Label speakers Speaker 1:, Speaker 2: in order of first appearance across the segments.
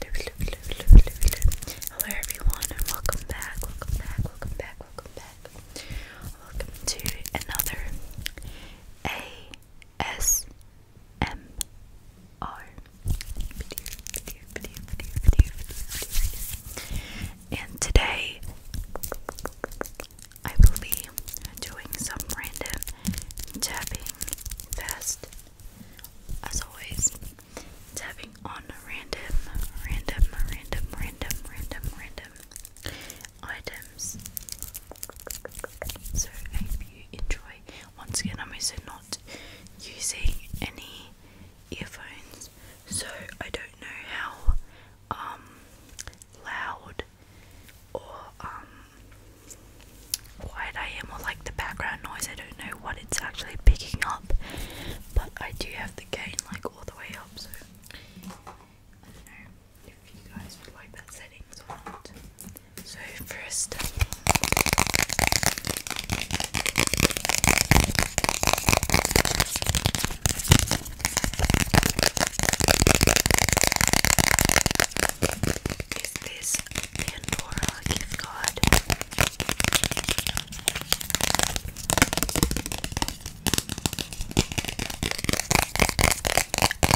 Speaker 1: Hello everyone and welcome back, welcome back, welcome back, welcome back. Welcome to another ASMR And today I will be doing some random tapping as always it's having on random, random, random, random, random, random items. So I hope you enjoy. Once again, I'm also not using any earphones, so I don't know how um, loud or um quiet I am or like the background noise. I don't know what it's actually picking up, but I do have the gain like all the way up, so I don't know if you guys would like that settings So first is this Pandora gift card.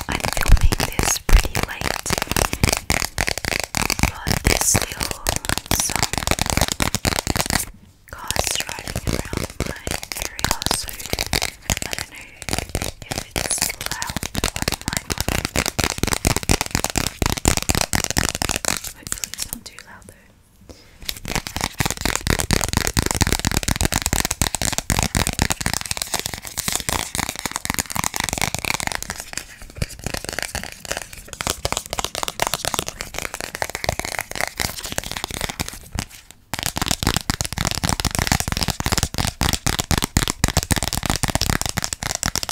Speaker 1: I'm filming this pretty late, but there's still some cars driving around my area, so I don't know if it's loud on my Hopefully it's not too loud though.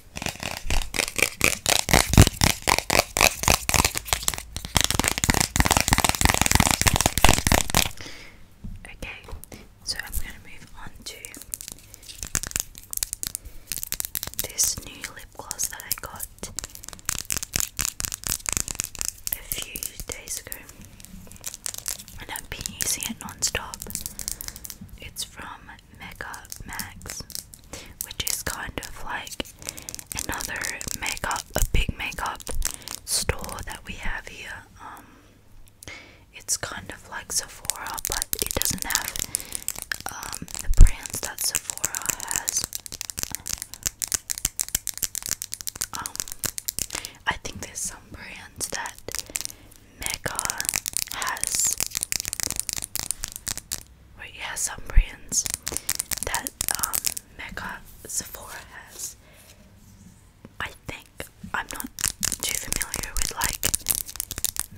Speaker 1: Okay, so I'm going to move on to this new lip gloss that I got a few days ago, and I've been using it non stop. It's from Mega Max, which is kind of like another makeup, a big makeup store that we have here. Um, it's kind of like Sephora, but it doesn't have um, the brands that Sephora has. Um, I think there's some brands that Mecca has wait yeah some brands that um, Mecca Sephora has I think I'm not too familiar with like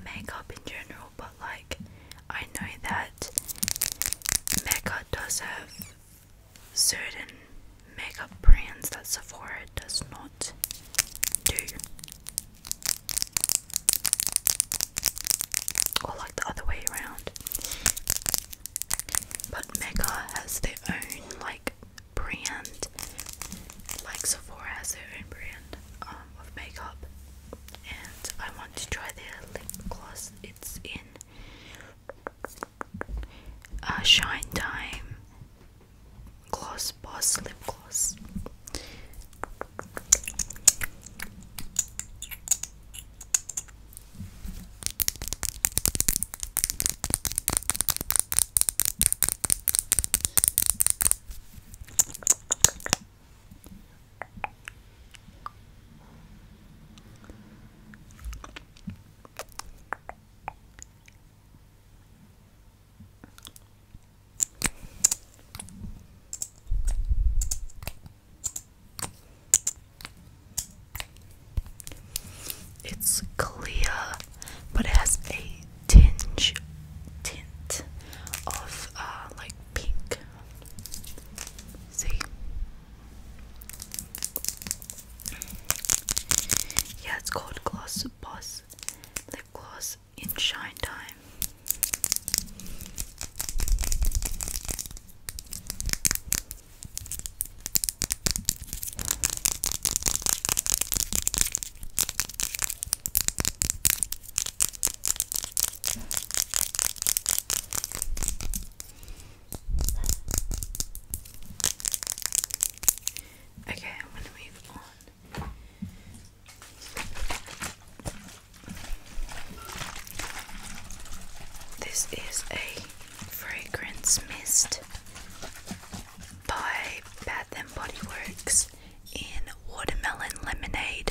Speaker 1: makeup in general but like I know that Mecca does have certain makeup brands that Sephora does not do or like the other way around. But Mecca has their own like brand, like Sephora has their own brand um, of makeup, and I want to try their lip gloss. It's in uh, Shine Time gloss boss lip gloss it's clear, but it has a tinge tint of uh, like pink. See? Yeah, it's called Gloss Boss Lip Gloss in shine time. Okay, I'm going to move on this is a fragrance mist by Bath and Body Works in watermelon lemonade.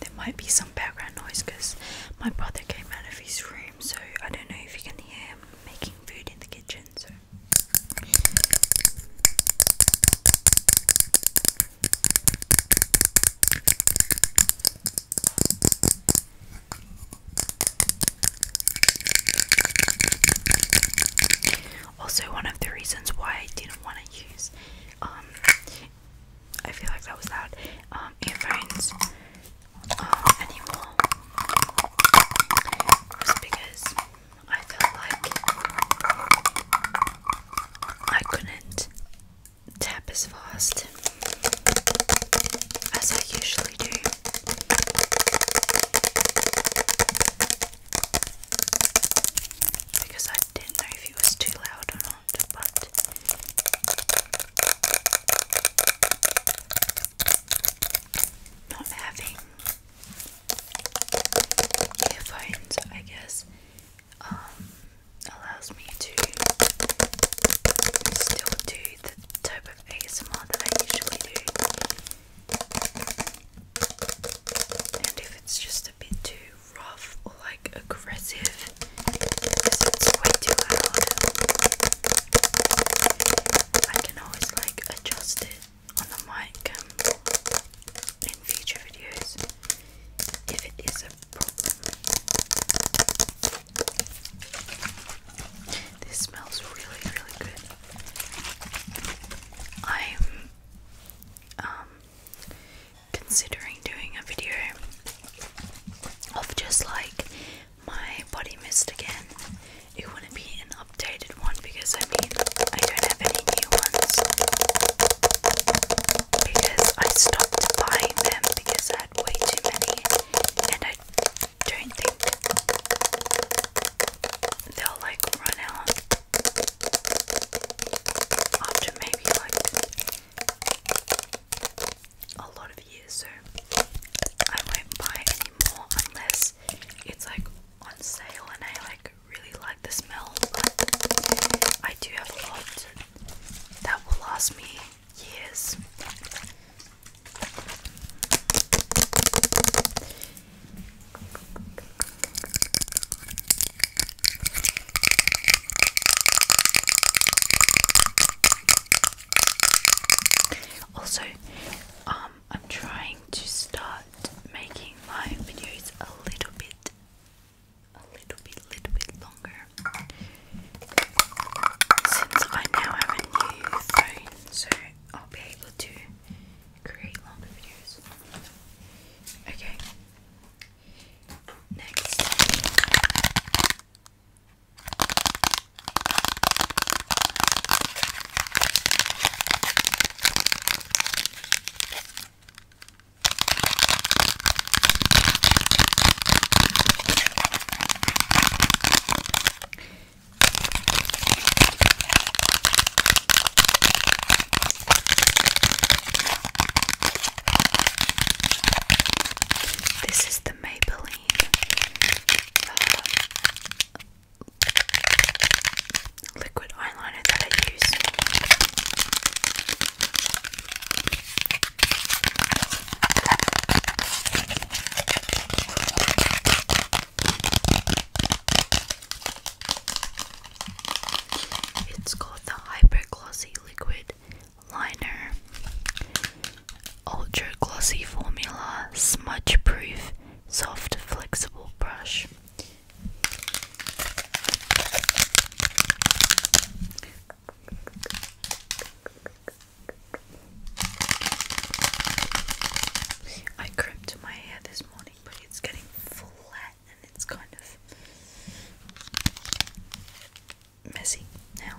Speaker 1: There might be some background noise because my brother came out of his room, so I don't know if you can hear him making food in the kitchen. So. Also, one of the reasons why I didn't want to use uh, um, I feel like that was that. Um, earphones, um, anymore, because I felt like I couldn't tap as fast as I usually do because I didn't know if it was too loud or not, but not having earphones, I guess, um, allows me to still do the type of ASMR that I usually do and if it's just a bit too rough or like aggressive because it's way too loud I can always like adjust it on the mic um, in future videos if it is a problem this smells really really good I'm um considering doing a video of just like my body mist again. It wouldn't be an updated one because I mean I don't have any new ones because I stopped buying them because I had way too many and I don't think they'll like run out after maybe like a lot of years, so I won't buy any unless it's like on sale and I like really like the smell. I do have a lot that will last me years. Also, um, I'm trying to start making my videos a little bit, a little bit, little bit longer. Since I now have a new phone, so I'll be able to create longer videos. Okay. Next. This is the Maybelline uh, liquid eyeliner that I use. It's called the Hyper Glossy Liquid Liner Ultra Glossy Formula Smudge Proof Soft Flexible Brush. I crimped my hair this morning getting It's getting flat and it's kind of messy now.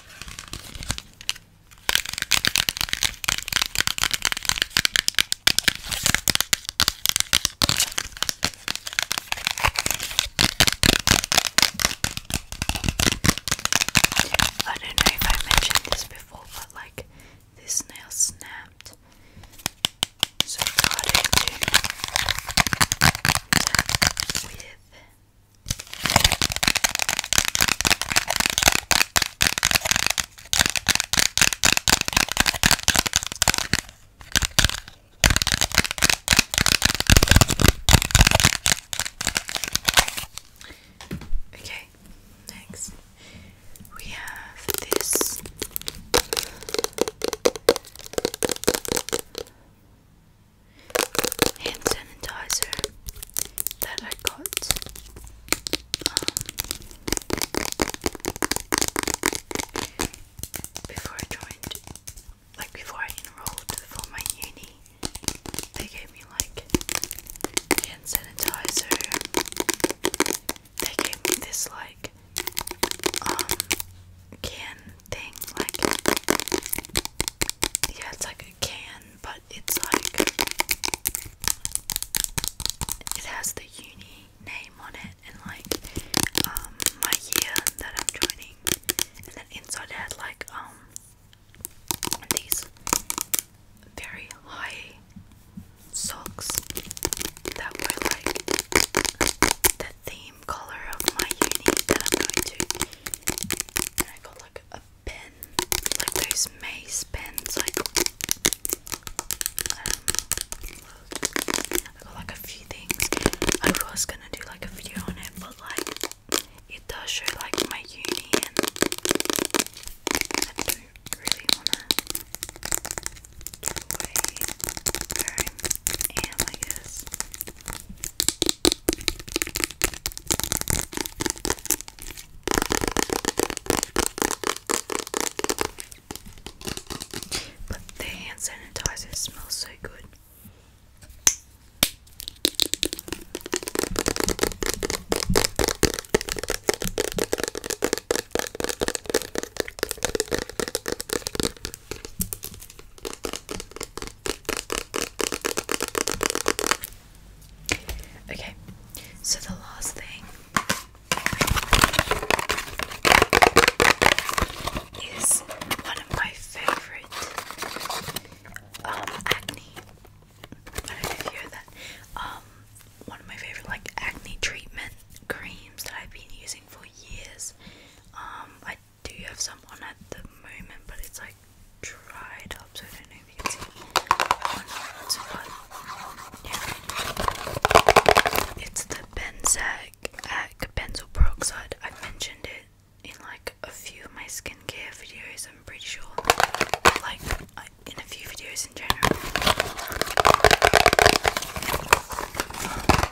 Speaker 1: I don't know if I mentioned this before, but like this nail snapped, so it's harder to tap with Okay, next we have this hand sanitizer that I got. Um, before I joined, like before I enrolled for my uni, they gave me like hand sanitizer. They gave me this like um can thing, like yeah, it's like a can, but it's like it has the uni name on it and like um my year that I'm joining, and then inside it had like um these very high socks that were like theme color of my uni that I'm going to. And I got like a pen, like those maze pens, like um, I got like a few things. I was gonna do like a video on it, but like it does show like my uni, and I don't really wanna give away I guess. But the hand sanitizer smells so good. Okay, so the last thing is one of my favorite um, acne. I don't know if you heard that. Um, one of my favorite like acne treatment creams that I've been using for years. Um, I do you have someone at the moment, but it's like dried up, so I don't know if you can see or yeah, it's the Benzac Ac uh, Peroxide. I've mentioned it in like a few of my skincare videos. I'm pretty sure, like uh, in a few videos in general.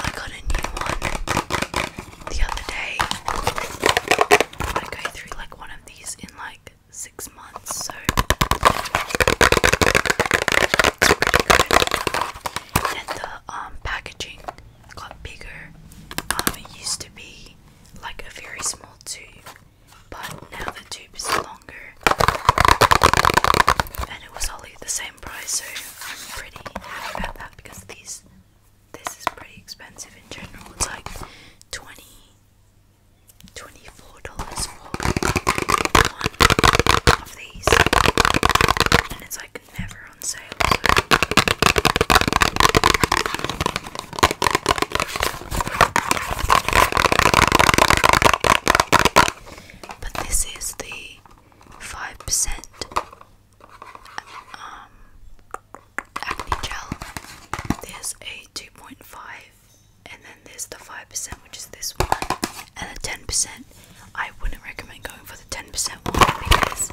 Speaker 1: I got a new one the other day. I go through like one of these in like six months, so And the um, packaging got bigger. Um, it used to be like a very small tube, but now the tube is longer, and it was only the same price, so pretty happy about that because these this is pretty expensive in general. It's like 20 24 dollars for one of these, and it's like never on sale. But this is the five percent um, acne gel. There's a 2.5, and then there's the 5%, which is this one, and the 10%. I wouldn't recommend going for the 10% one because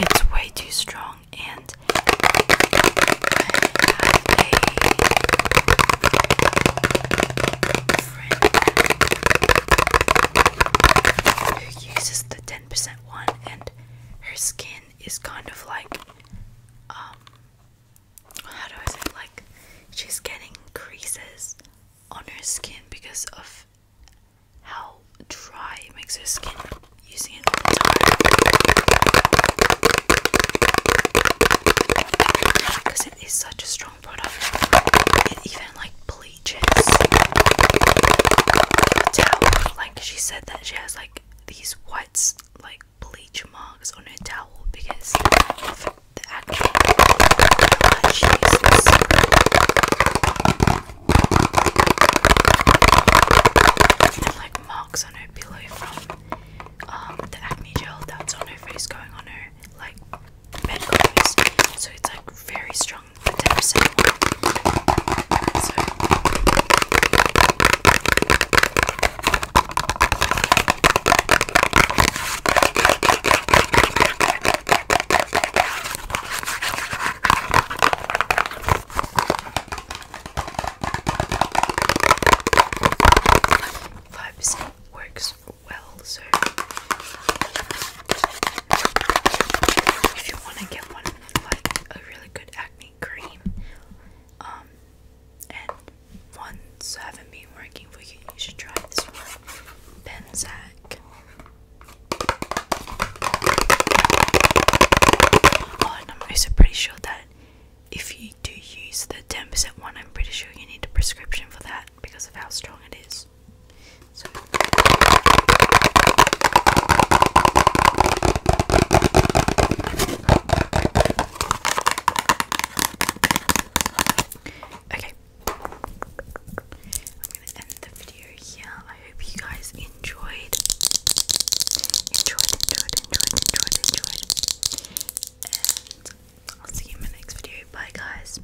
Speaker 1: it's way too strong and uses the 10% one, and her skin is kind of like, um, how do I say, like, she's getting creases on her skin because of how dry it makes her skin using it all the time. Because it is such a strong product, even like like she said that she has like these whites, like bleach marks on her towel because of the actual that she like marks on her pillow from um, the acne gel that's on her face going on her like bed So it's like very strong strong Five percent works well. So if you want to get one like a really good acne cream, um, and ones haven't been working for you, you should try this one, Benzac. Oh, and I'm also pretty sure that if you do use the 10% one, I'm pretty sure you need a prescription for that because of how strong it is. So. Okay. I'm gonna end the video here. I hope you guys enjoyed. Enjoyed, enjoyed, enjoyed, enjoyed, enjoyed. And I'll see you in my next video. Bye guys.